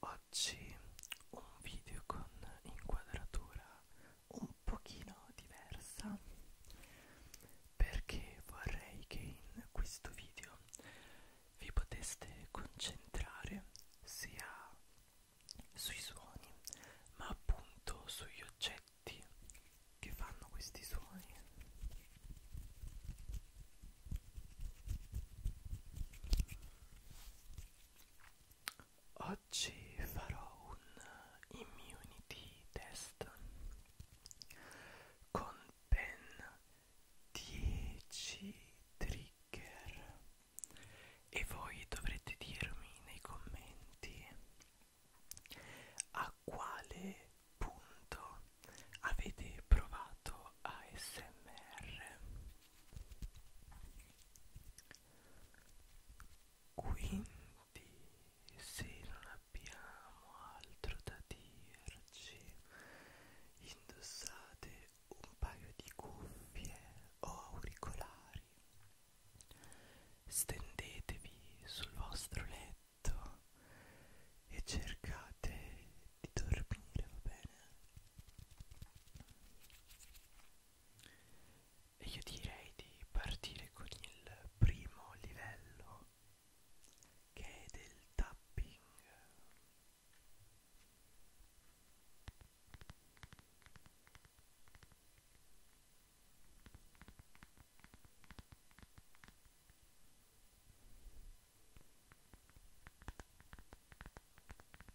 oggi un video con inquadratura un pochino diversa perché vorrei che in questo video vi poteste concentrare sia sui suoni ma appunto sugli oggetti che fanno questi suoni Oggi farò un immunity test con ben 10 trigger e voi dovrete dirmi nei commenti a quale punto avete provato ASMR quindi se non abbiamo altro da dirci indossate un paio di cuffie o auricolari stendetevi sul vostro letto e cercate di dormire va bene e io direi di partire con il primo livello che è del tapping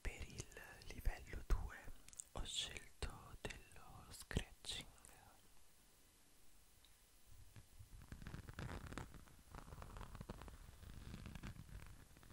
Per il livello 2 ho scelto dello scratching.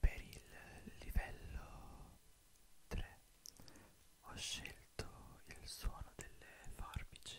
Per il livello 3 ho scelto il suono delle farbici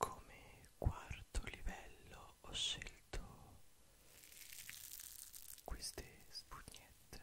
Come quarto livello ho scelto queste spugnette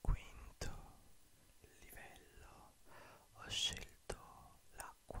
Quinto livello ho scelto l'acqua.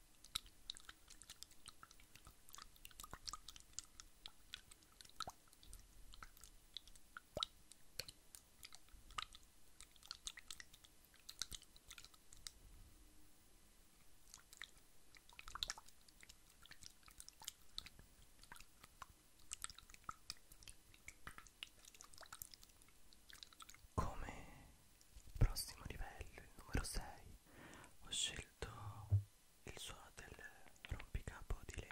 Come prossimo livello, il numero 6, ho scelto il suono del rompicapo di legno.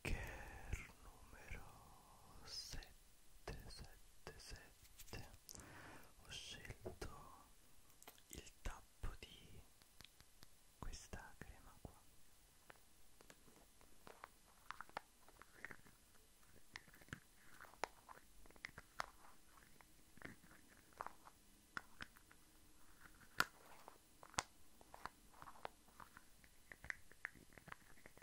trigger numero 777 ho scelto il tappo di questa crema qua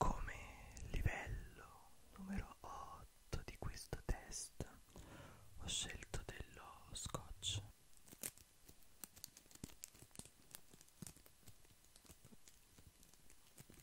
Come livello numero 8 di questo test ho scelto dello scotch.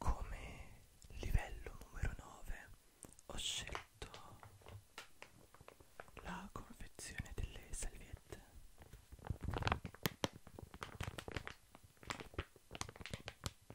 Come livello numero 9 ho scelto la confezione delle salviette.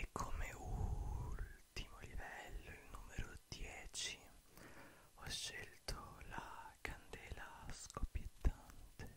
E come ultimo livello, il numero 10, ho scelto la candela scoppiettante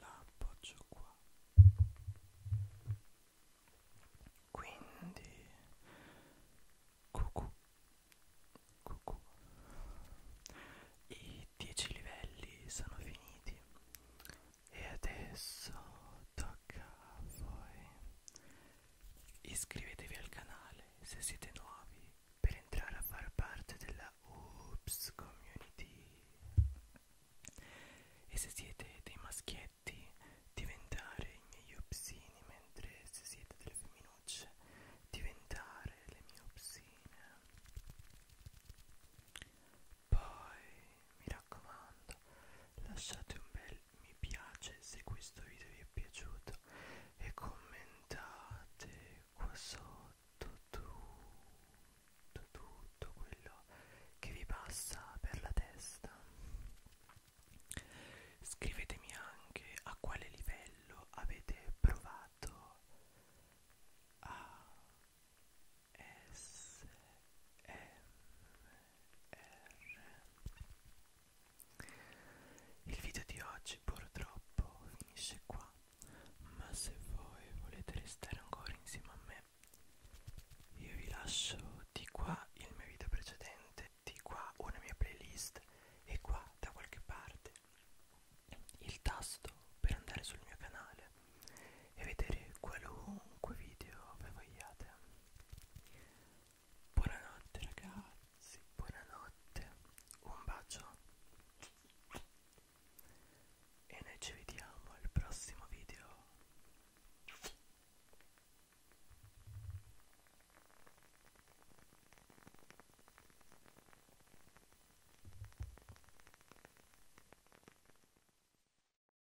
la appoggio qua quindi cucù cucù i 10 livelli sono finiti e adesso tocca a voi Iscrivetevi al canale se siete nuovi per entrare a far parte della Oops Community e se siete dei maschietti diventare i miei upsini mentre se siete delle femminucce diventare le mie upsine poi mi raccomando lasciate un bel mi piace se questo video vi è piaciuto e commentate qua sotto tutto, tutto quello che vi passa per la testa scrivetemi anche a quale livello avete provato a S M il video di oggi purtroppo finisce qua, ma se voi volete restare ancora insieme a me, io vi lascio di qua il mio video precedente, di qua una mia playlist e qua da qualche parte il tasto per andare sul mio canale e vedere qualunque video voi vogliate. Buonanotte ragazzi, buonanotte, un bacio e noi ci vediamo al prossimo video.